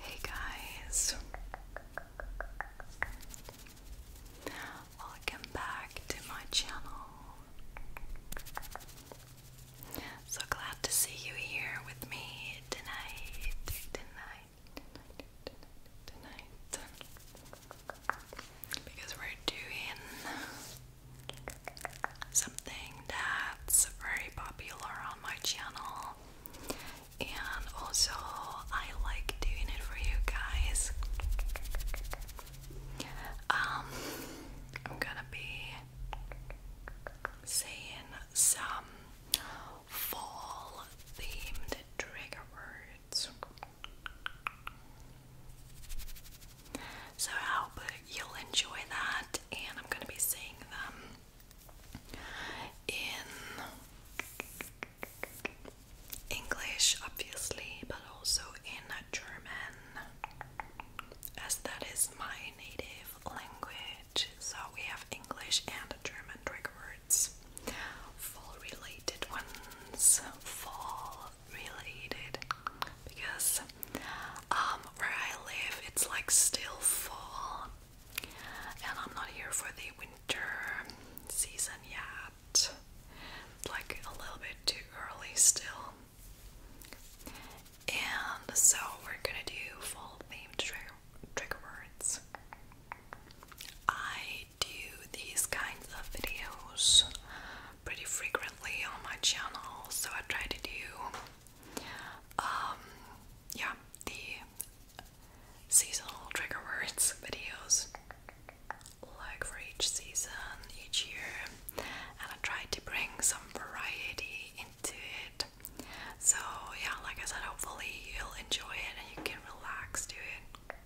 Hey guys, welcome back to my channel. So glad to see you here with me tonight, tonight, tonight, tonight. Because we're doing something that's very popular on my channel, and also I like doing it for you guys. Um, I'm gonna be saying some fall themed trigger words. So I hope you'll enjoy that, and I'm going to be seeing them in English, obviously, but also in German, as that is my native language. So we have English and German trigger fall related ones, fall related, because um, where I live, it's like still fall, and I'm not here for the winter season yet. like a little bit too early still. And so we're gonna do fall themed trigger, words. I do these kinds of videos pretty frequently on my channel, so I try to do, um, yeah, the seasonal trigger words videos, like for each season, each year, and I try to bring some variety into it. So, yeah, like I said, hopefully you'll enjoy it and you can relax to it.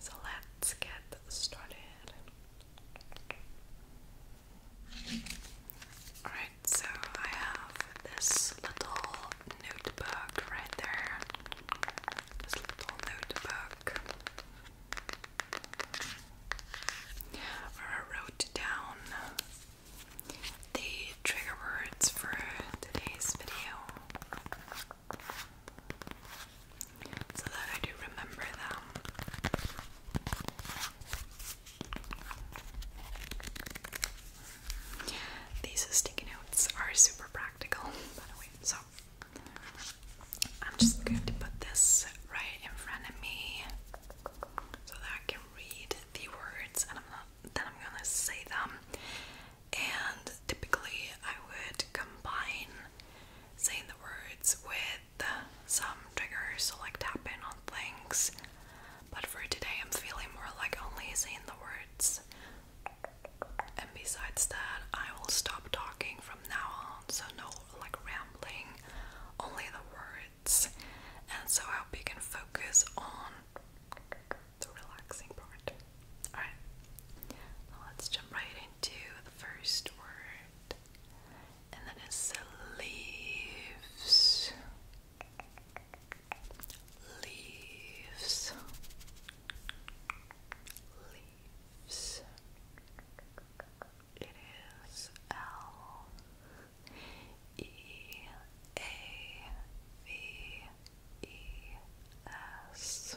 So, let's get started. Alright, so I have this little notebook right there. This little notebook where I wrote down the trigger words for today's video so that I do remember them. These sticky notes are super practical, by the way, so I'm just going to put this right in front of me so that I can read the words and then I'm gonna say them. And typically, I would combine saying the words with some triggers, so like tapping on things. But for today, I'm feeling more like only saying the words. And besides that, I will stop talking from now on, so no like rambling, only the words. And so I hope you can focus on the relaxing part. Alright, let's jump right into the first word and then it's the leaves, leaves, leaves. It is L E A V E S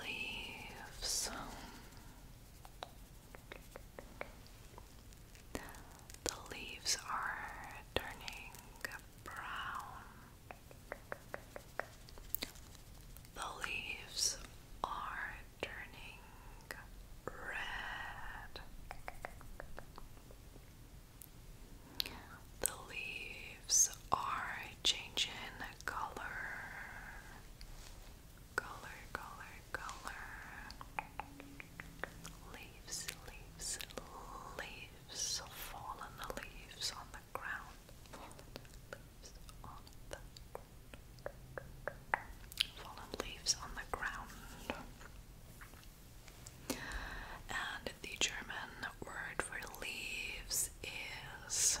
leaves. The leaves are turning brown. The leaves are turning red. The leaves are changing color, color, color, color. Leaves, leaves, leaves, fallen leaves on the ground, fallen leaves on the fallen leaves on the ground. And the German word for leaves is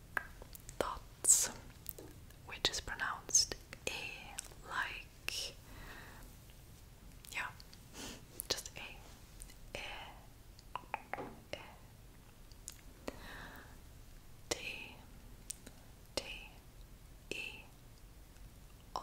thoughts, which is pronounced A like. Yeah, just A. A. A. T. T. E. R.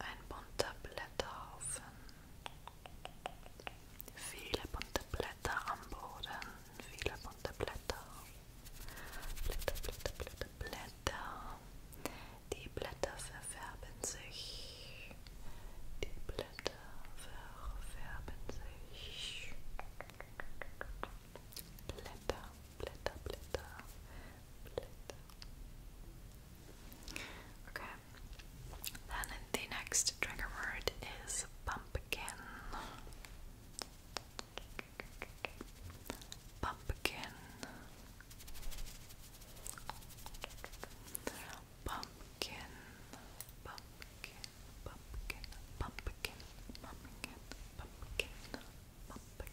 Ein bunter Blätterhaufen. Viele bunte Blätter am Boden. Viele bunte Blätter. Blätter, Blätter, Blätter, Blätter. Die Blätter verfärben sich. Die Blätter verfärben sich. Blätter. Blätter, Okay. Then the next trigger word is Pumpkin. Pumpkin. Pumpkin. Pumpkin. Pumpkin. Pumpkin. Pumpkin. Pumpkin.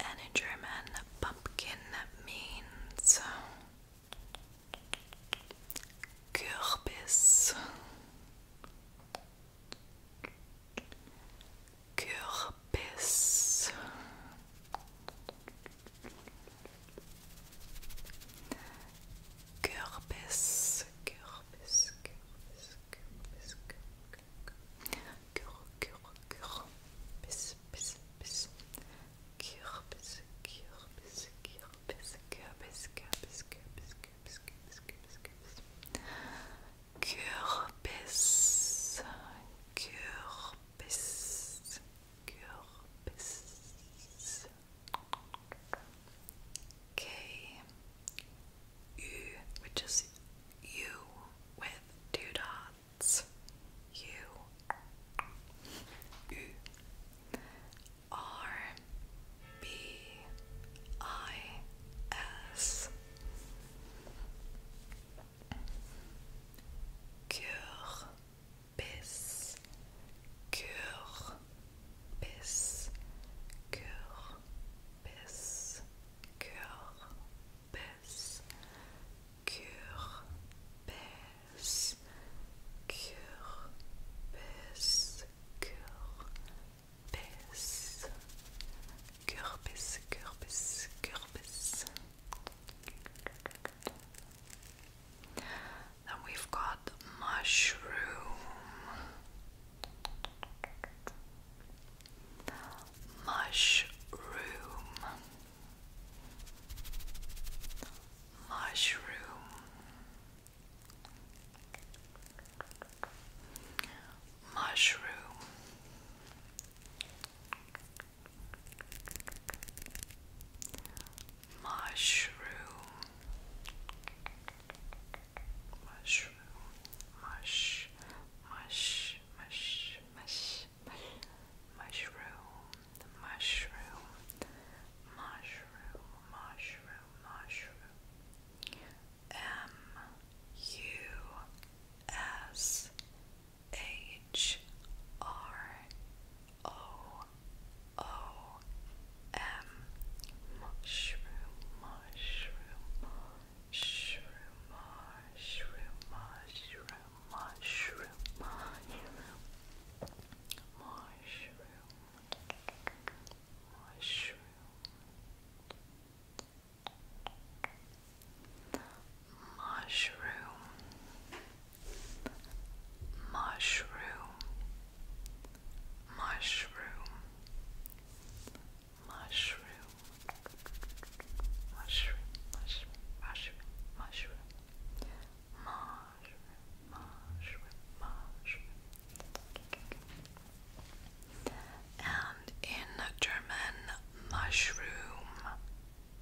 And in German, pumpkin means Kürbis. Kürbis. Kürbis, Kürbis, Kürbis, Kürbis, Kürbis, cure, cure, cure, bis, bis, bis, cure, bis, cure, bis, cure, bis, cure, bis, cure, bis, cure, bis, cure, bis, cure, bis, cure, bis, cure, bis, cure, U, which is U with two dots. U, U, R, B, I, S. Cure, bis, cure, bis, cure, bis. Kürbis, Kürbis, Kürbis, Kürbis, Kürbis, Kürbis, Kürbis. Then we've got mushroom mushroom mushroom mushroom mushroom mushroom mush, mush, mush, mush, mushroom, the mushroom, mushroom, mushroom, mushroom. M U S H R O O M mushroom mushroom Shrooma, shrooma, shrooma, shrooma, shroom. Mushroom, mushroom, mushroom, mushroom, mushroom, mushroom, mushroom, mushroom, mushroom, mushroom, mushroom, mushroom, mushroom. And in German, mushroom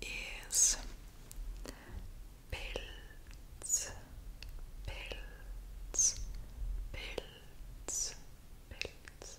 is Pilz, Pilz, Pilz, Pilz,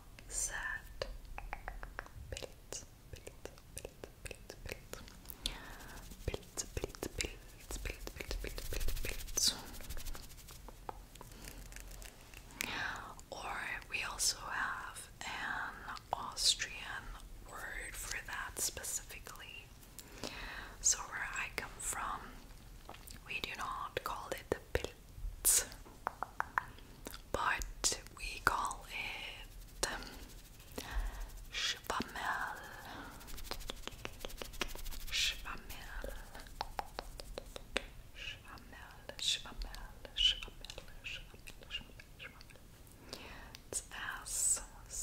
or we also have an Austrian word for that specifically. So where I come from, we do not call it the it, but we call it um, Schwammel. Schwammel. Schwammel. Schwammel. Schwammel. Schwammel. Schwammel. It's S C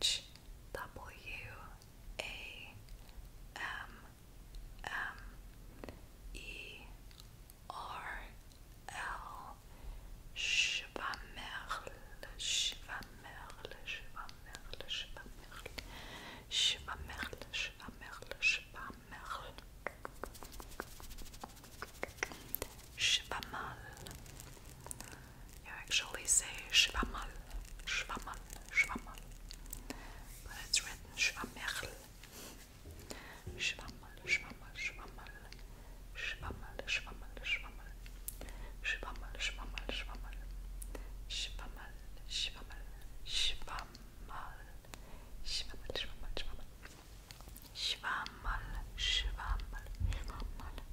H W A M M E R L Schwammerl, Schwammerl, Schwammerl, Schwammerl, Schwammerl, Schwammerl, Schwammerl, Schwammerl. You actually say Schwammerl, Schwammerl. Schwammel. But it's written Schwammerl. Schwammel, Schwammel, Schwammel. Schwammel, Schwammel, Schwammel. Schwammel, Schwammel, Schwammel. Schwammel, Schwammel, Schwammel. Schwammel, Schwammel, Schwammel. Schwammel, Schwammel, Schwammel.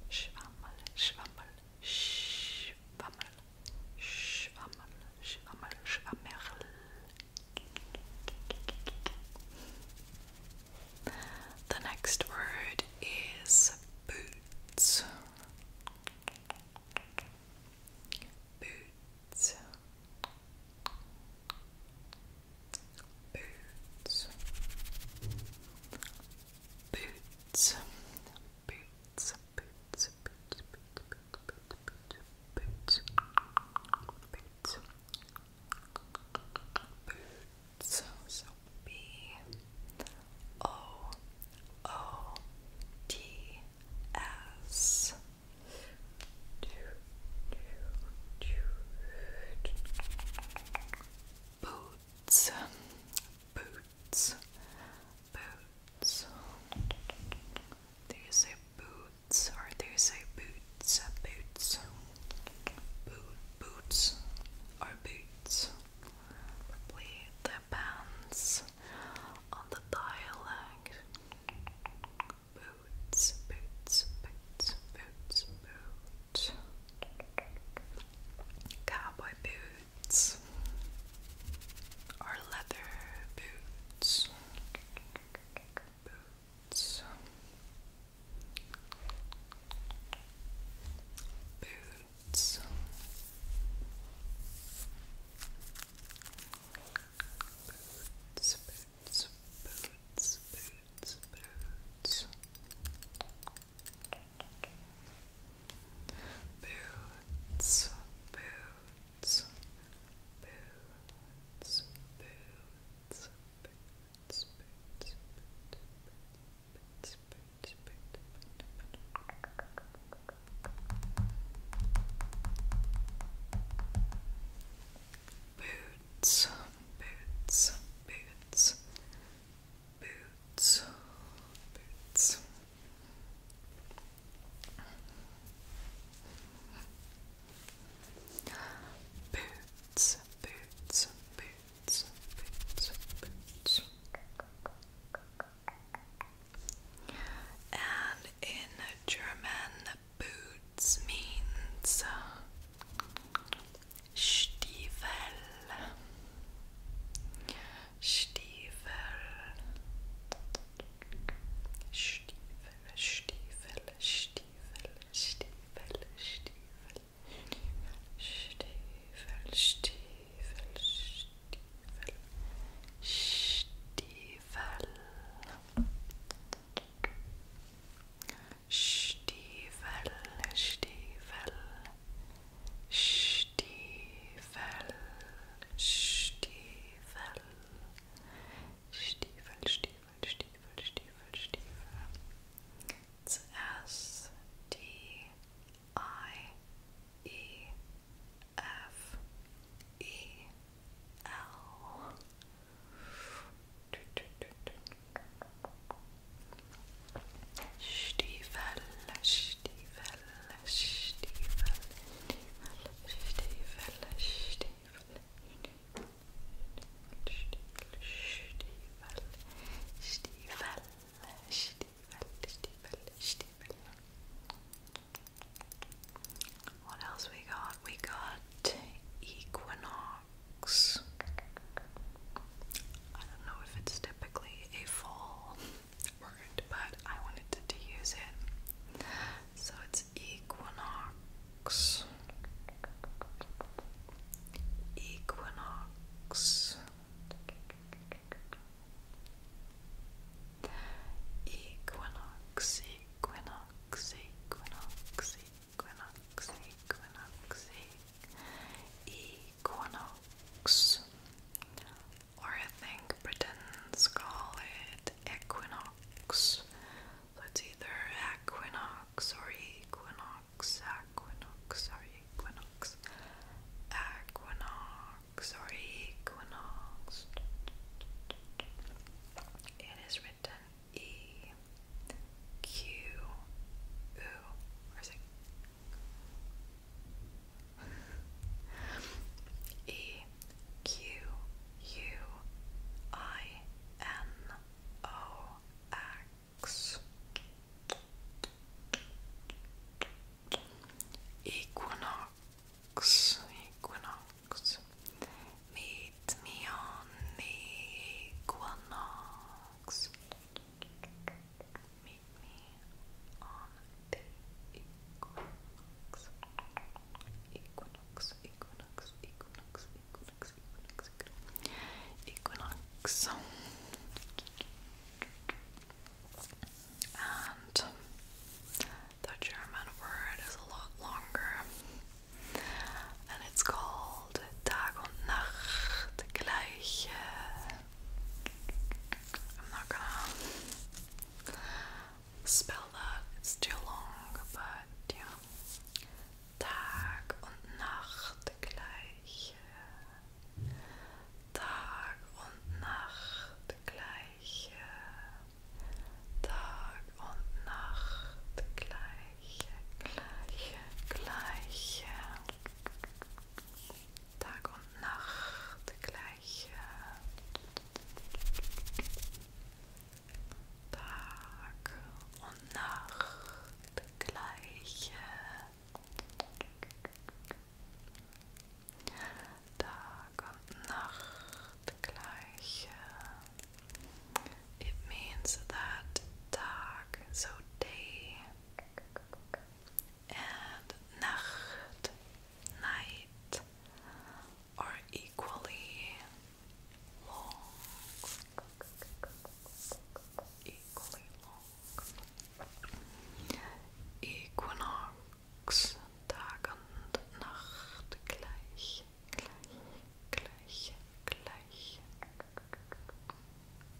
Schwammel, Schwammel, Schwammel. Shamal, shamal, shamal. The next word is Boots. Boots. Boots. Boots. Boots. Boots. Boots boots, boots, boots. So B O O T S. Boots, boots, Boots. Do you say boots or do you say boots? Uh, boots. Boot, boots or boots. Probably depends on the dialect. Boots, boots, boots, boots, boots. Cowboy boots boots leather Boots. Boots. Boots, boots, boots, boots, boots. Boots, boots, boots, boots, boots, boots, boots, boots, boots, boots, boots, boots, boots, boots, boots, boots, boots, Boots, boots, boots, boots, boots. And in German, boots means Stiefel. Stiefel, Stiefel, Stiefel, Stiefel, Stiefel, Stiefel, Stiefel, Stiefel, Stiefel, Stiefel. Stiefel, Stiefel, Stiefel, Stiefel, Stiefel, Stiefel, Stiefel, Stiefel, Stiefel. S D I E F E L. Stiefel, Stiefel, What else we got? We got Equinox. I don't know if it's typically a fall word, but I wanted to, use it. So it's equinox. Equinox. Equinox, equinox, equinox, equinox, equinox, equinox, equinox, equinox, or I think Britons call it equinox. it's either equinox or equinox, equinox or equinox, equinox or equinox. It is written E Q U or it E Q U I N O X Equinox, equinox. Meet me on the equinox. Meet keep me And the German word is a lot longer, and it's called Tag und Nacht, gleiche I'm not gonna spell that, it's too long, but ja. Tag und Nacht gleich. Tag und Nacht gleich. Tag und Nacht gleiche, gleich gleich. Tag und Nacht gleich. Tag und Nacht gleich. Tag und Nacht gleich. It means that Tag, so day, and nacht, night are equally long. Equally long. Equinox, Tag und Nacht gleich, gleich, gleich, gleich.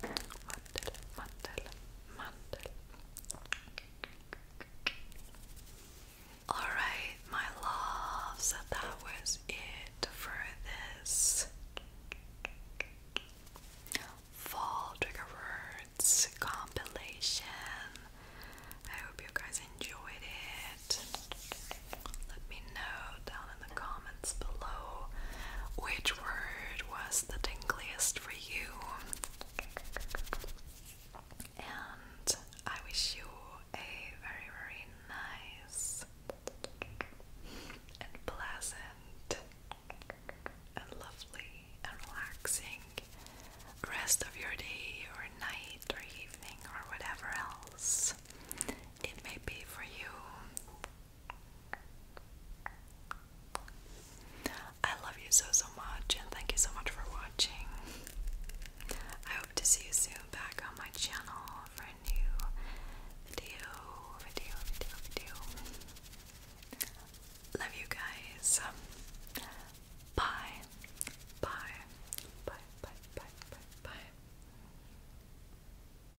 Mandel, mandel, mandel, mandel. Alright, my loves, that was it for this fall trigger words compilation. I hope you guys enjoyed it. Let me know down in the comments below which word was the tingliest for you. And I wish you a very, very nice and pleasant and lovely and relaxing rest of your day or night or evening or whatever else it may be for you. I love you so, so much, and thank you so much for watching. I hope to see you soon back on my channel for a new video, video, video, video. Love you guys. Bye. Bye. Bye, bye, bye, bye, bye.